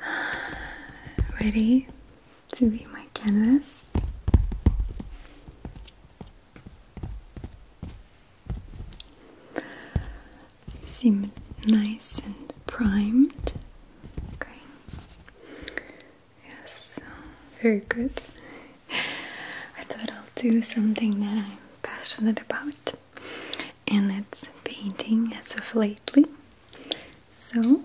Ready to be my canvas? Seem nice and primed. Okay. Yes, very good. I thought I'll do something that I'm passionate about, and it's painting as of late. So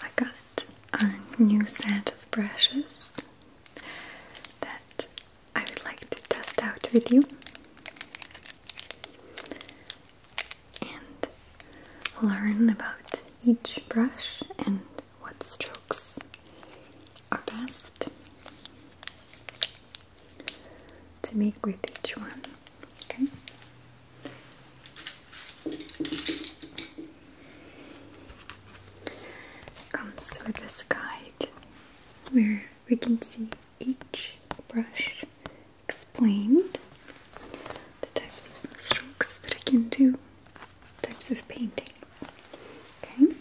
I got a new set of brushes that I would like to test out with you. And learn about each brush and what strokes are best to make with each one. Okay. comes with this guide where we can see each brush explained, the types of strokes that I can do, types of paintings. Okay.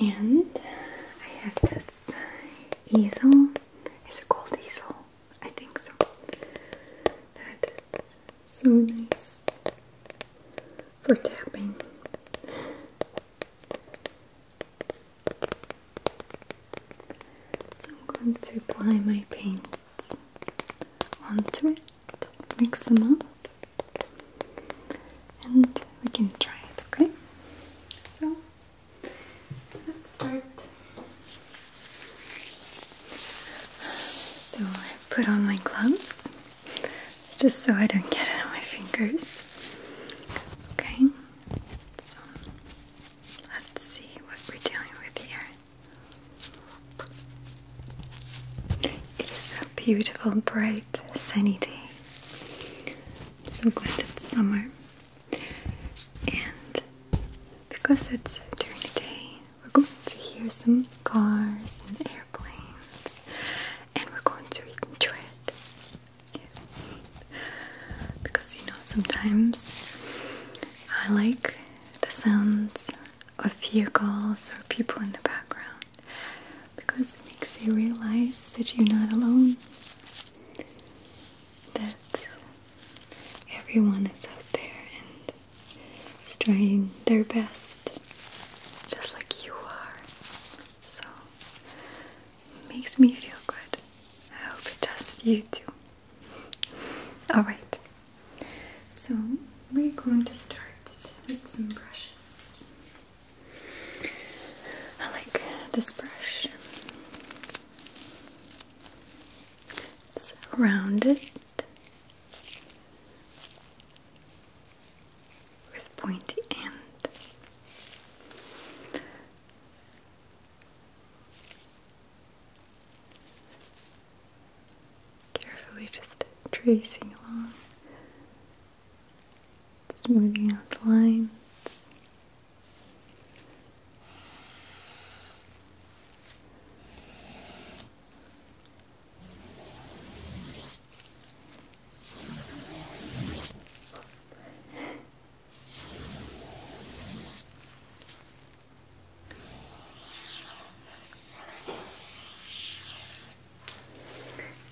And I have this easel. It's a gold easel? I think so. That is so nice for tapping. So I'm going to apply my paint bits onto it, mix them up, and we can try it, okay? So, let's start. So, I put on my gloves just so I don't get it on my fingers. Okay, so let's see what we're dealing with here. It is a beautiful, bright, sunny day. so glad it's summer. And because it's during the day, we're going to hear some cars and airplanes, and we're going to enjoy it. Yeah. Because you know, sometimes I like the sounds of vehicles or people in the background because it makes you realize that you're not alone, that everyone is out there and trying their best just like you are. So, it makes me feel good. I hope it does you too. All right. So we're going to start with some brushes. I like this brush. It's rounded with pointy end. Carefully just tracing along, smoothing out the lines.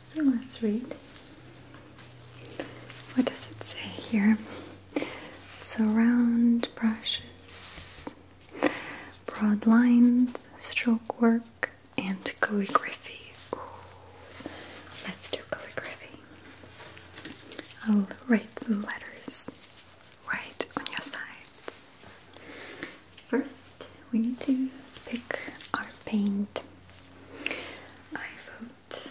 So let's read. What does it say here? Surround brushes, broad lines, stroke work, and calligraphy. Ooh. Let's do calligraphy. I'll write some letters right on your side. First, we need to pick our paint. I vote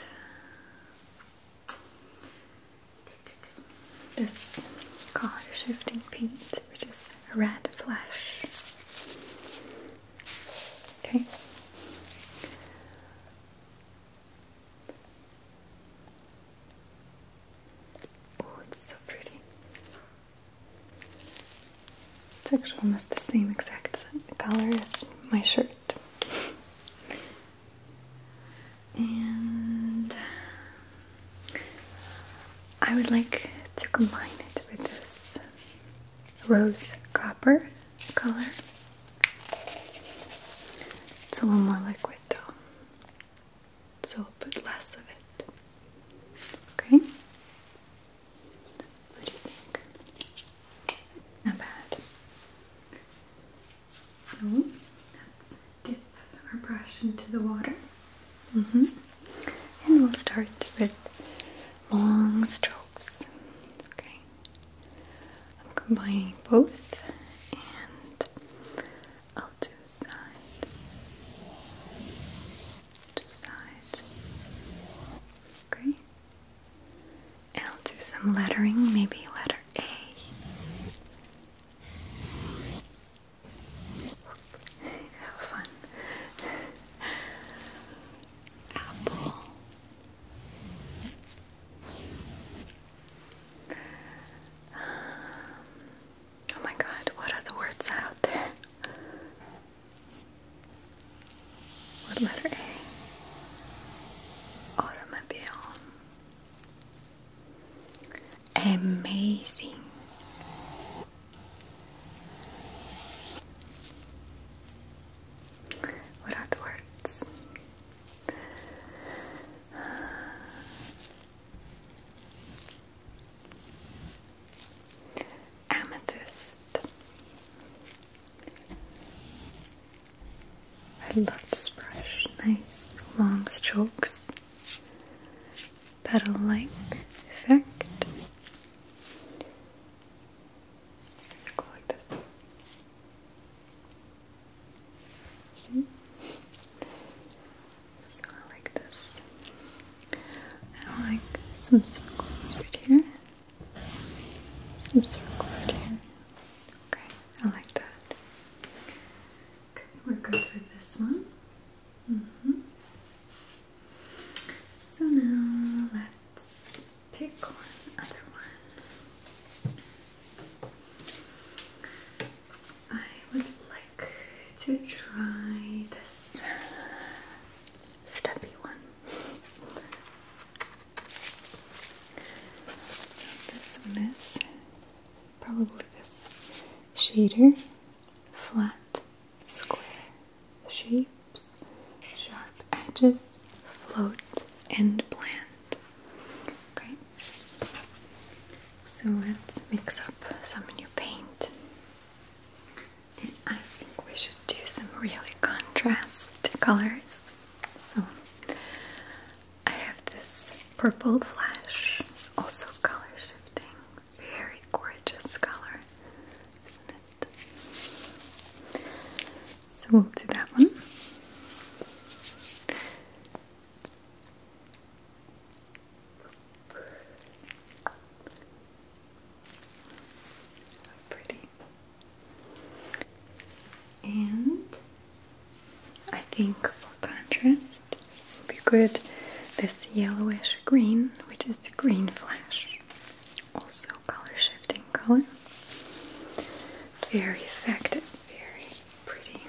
this color shifting paint, which is red flesh. Okay. Oh, it's so pretty. It's actually almost the same exact color as my shirt. And I would like to combine it with this rose copper color. It's a little more liquid though so I'll put less of it. Okay? What do you think? Not bad. So dip our brush into the water. Mm -hmm. And we'll start with long strokes. Okay. I'm combining both and I'll do side to side. Okay. And I'll do some lettering, maybe letter A. Have fun. Apple. Um, Oh my god, what are the words out there? What letter A? Automobile. Amazing. What are the words? Amethyst. I love this brush. Nice long strokes. Petal like effect. Go like this. See? So I like this. I like some circles right here. Some circles right here. Okay, I like that. Okay, we're good with this one. Mm-hmm. So now let's pick one other one. I would like to try this steppy one. So this one is probably this shader, flat, square shapes, sharp edges, float, and bland. Okay. So let's mix up some new paint. I think we should do some really contrast colors. So I have this purple flash, also color shifting, very gorgeous color, isn't it? So we'll do that one pretty. And I think for contrast, it would be good this yellowish green, which is green flash, also color shifting color. Very effective, very pretty.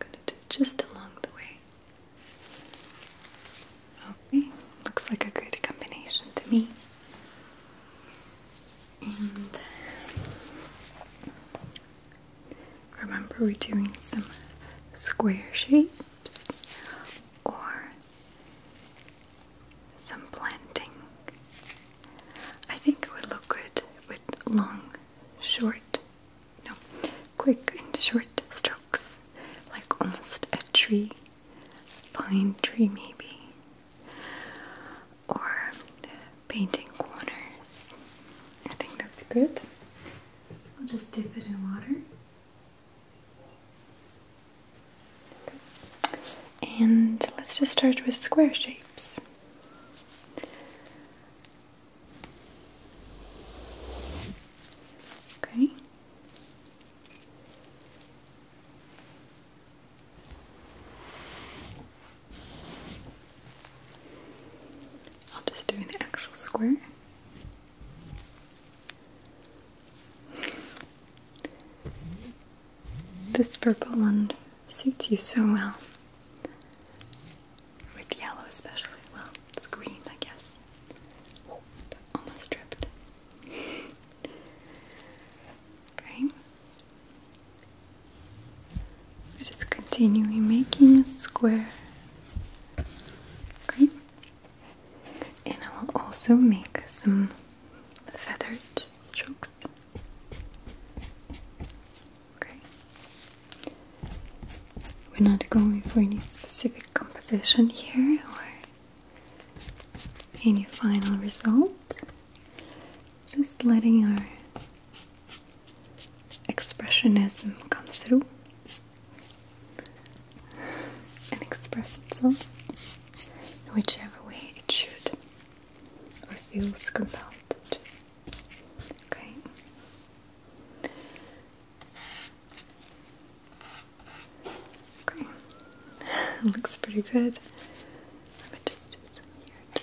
I'm gonna do just along the way. Okay, looks like a good combination to me. And remember, we're doing some square shapes or some planting. I think it would look good with long short, no, quick and short strokes, like almost a tree, pine tree maybe, or painting corners. I think that's good. So we'll just dip it in water. And let's just start with square shapes. Okay. I'll just do an actual square. This purple one suits you so well. With yellow especially. Well, it's green, I guess. almost dripped. okay. I are just continuing making a square. Okay. And I will also make some feathered strokes. Okay. We're not going for any specific composition here or any final result. Just letting our expressionism come through and express itself whichever way it should or feels compelled to. Okay. Okay. Looks pretty good. Let me just do some here too.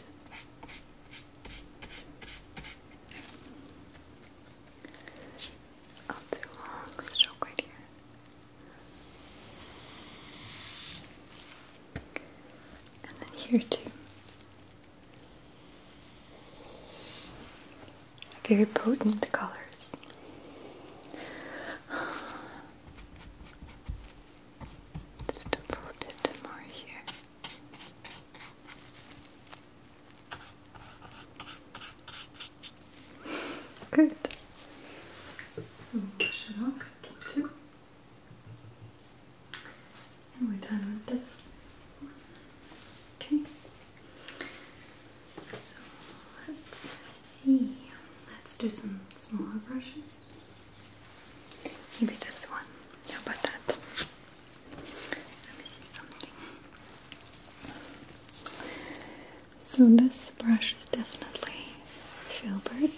Oh, too long stroke right here. And then here too. Very potent colors. Just a little bit more here. Good. So, shall I keep and we're done with this. Okay. So let's see. Let's do some smaller brushes. Maybe this one. How about that? Let me see something. So this brush is definitely filbert,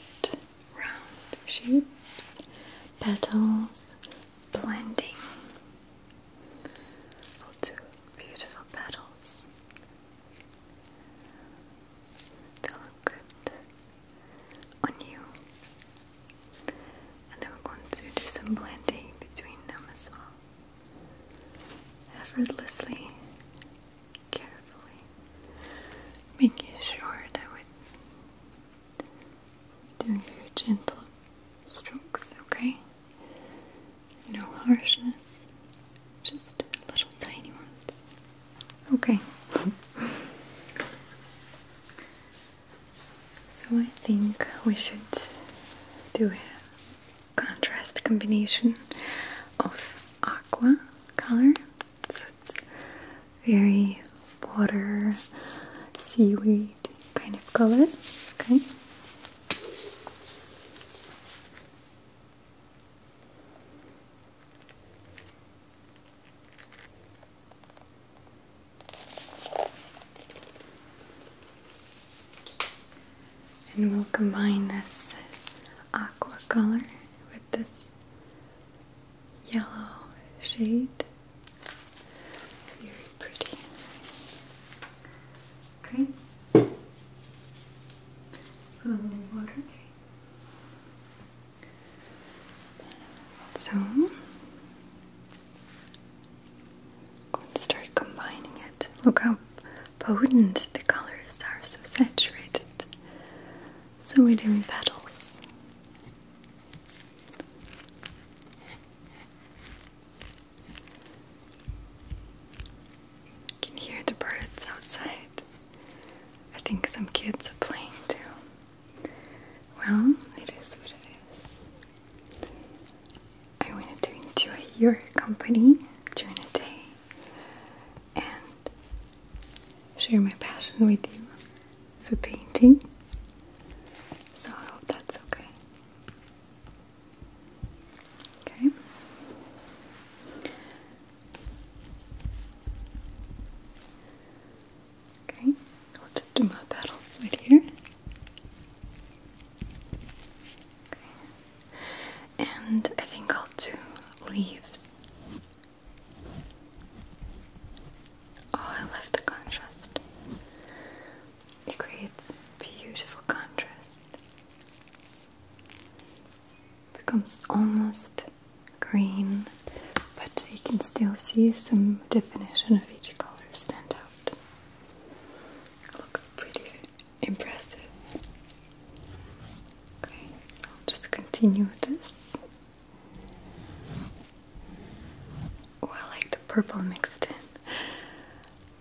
round shapes, petals, blending. beautiful petals. They look good on you. And then we're going to do some blending between them as well. Effortlessly, carefully, making sure that we doing gentle strokes, okay? No harshness, just little tiny ones. Okay. so I think we should do a contrast combination of aqua color. So it's very water, seaweed kind of color. Okay. And we'll combine this aqua color with this yellow shade. Very pretty. Okay. Put a little water. So let's start combining it. Look how potent the colors are, so saturated. So we're doing petals can hear the birds outside. I think some kids are playing too. Well, it is what it is. I wanted to enjoy your company during the day and share my passion with you for painting. So that's okay. Okay. Okay, I'll just do my petals right here. Okay. And I think I'll do leaves. Oh, I love the contrast. It creates beautiful contrast. Becomes almost green, but you can still see some definition of each color stand out. Looks pretty impressive. Okay, so just continue with this. Oh, like the purple mixed in.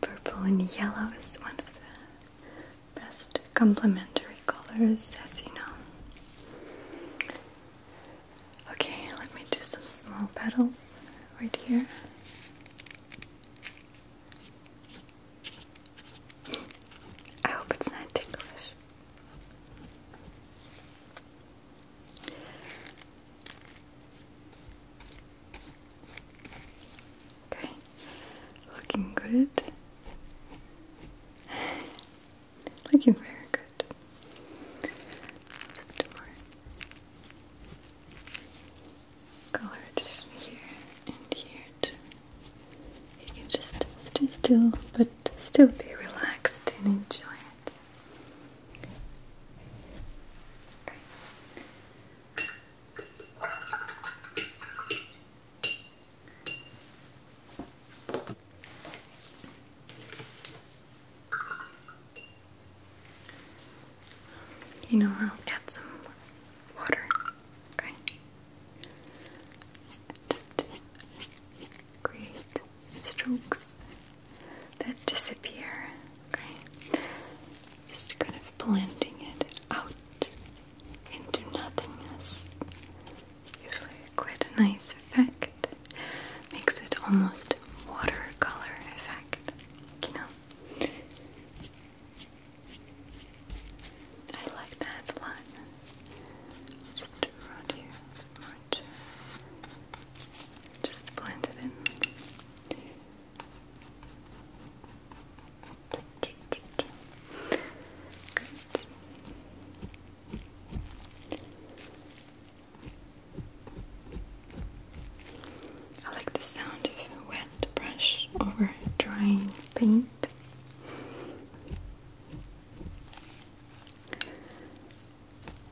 Purple and yellow is one of the best complementary colors, as you know. Okay, let me do some small petals right here. I hope it's not ticklish. Okay, looking good. looking very good. Just more color just here and here You can just stay still, but still be relaxed and enjoy it. You know, I'll get some water. Okay. Just create strokes that disappear. just kind of blending it out into nothingness. Usually, quite a nice effect. Makes it almost watercolor effect. You know, I like that a lot. Just around here. Just blend it in. I like the sound of a wet brush over drying paint.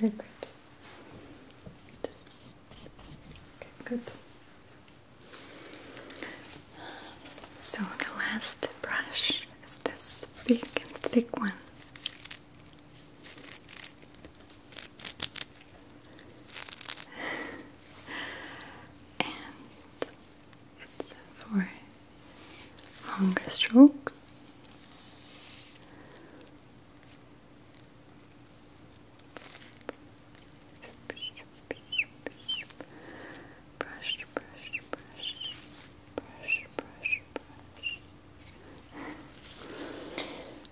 very good. Just, okay, good. So the last brush is this big and thick one. and it's for longer strokes.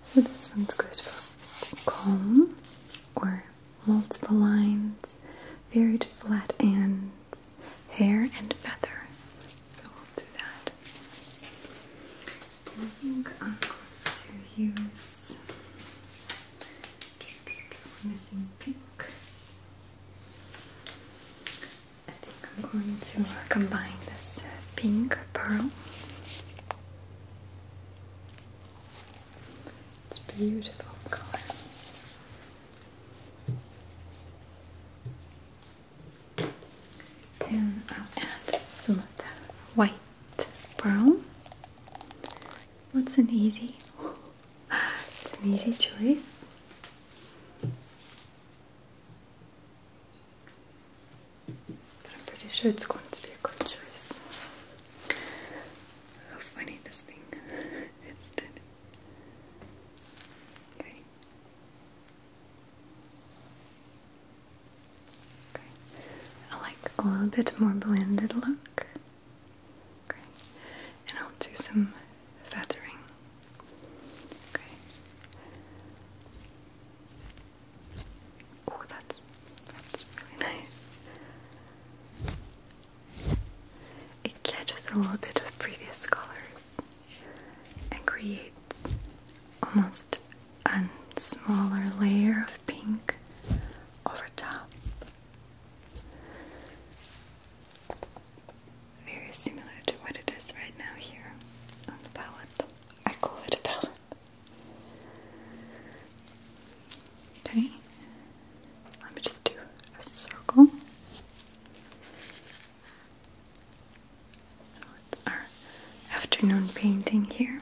So this one's good for calm or multiple lines, varied flat ends, hair and feather. So i will do that. I think I'm going to use missing pink. I think I'm going to combine this pink pearl. It's beautiful color. And I'll add some of that white brown. What's an easy? an easy choice. But I'm pretty sure it's going to be a good choice. How funny this thing is. Okay. I like a little bit more blended look. And I'll do some feathering. Oh, that's that's really nice. It catches a little bit of previous colors and creates almost a smaller layer of pink over top. Very similar to what it is right now here on the palette. I call it a palette. Okay, let me just do a circle so our afternoon painting here.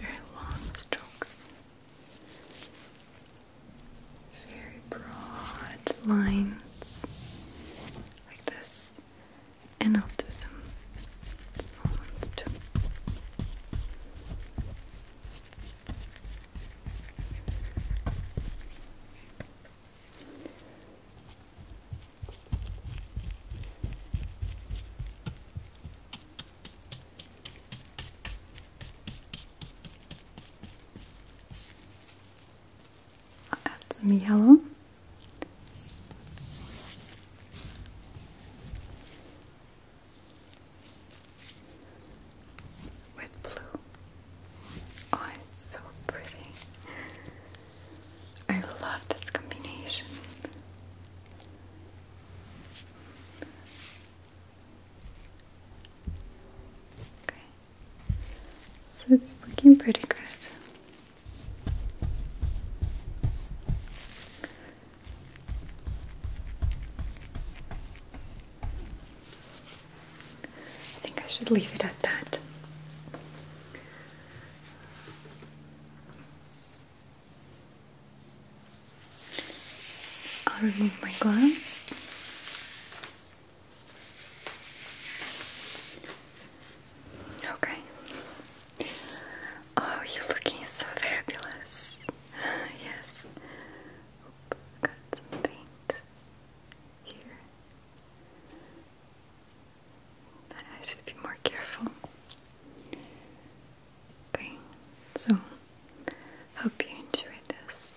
Very long strokes, very broad lines like this, and I'll do some small ones too i add some yellow with blue. Oh, it's so pretty. I love this combination. Okay. So it's looking pretty good. I think I should leave it at that. I'll remove my gloves. Okay. Oh, you're looking so fabulous. yes. got some paint here. I should be more careful. Okay, so hope you enjoyed this.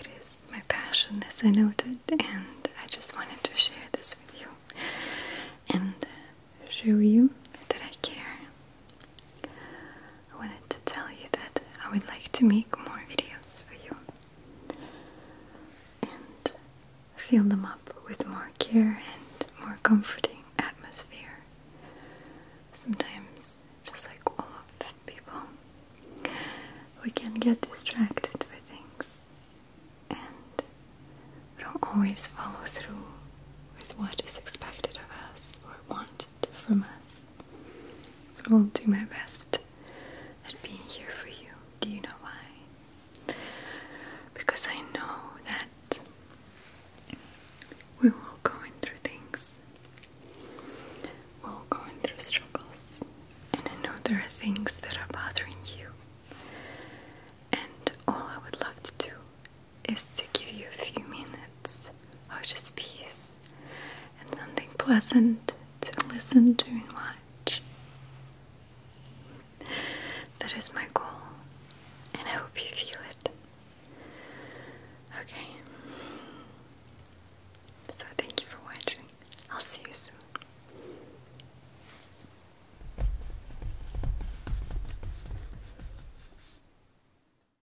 It is my passion, as I noted, and I just wanted to share this with you and show you that I care. I wanted to tell you that I would like to make more videos for you and fill them up with more care and more comforting atmosphere. Sometimes, just like all of people, we can get distracted by things and we don't always follow through with what is expected of us or want from us. So I'll do my best at being here for you. Do you know why? Because I know that we will go through things, we're all through struggles, and I know there are things that are bothering you. And all I would love to do is to give you a few minutes of just peace and something pleasant to listen to and watch. That is my goal, and I hope you feel it. Okay. So, thank you for watching. I'll see you soon.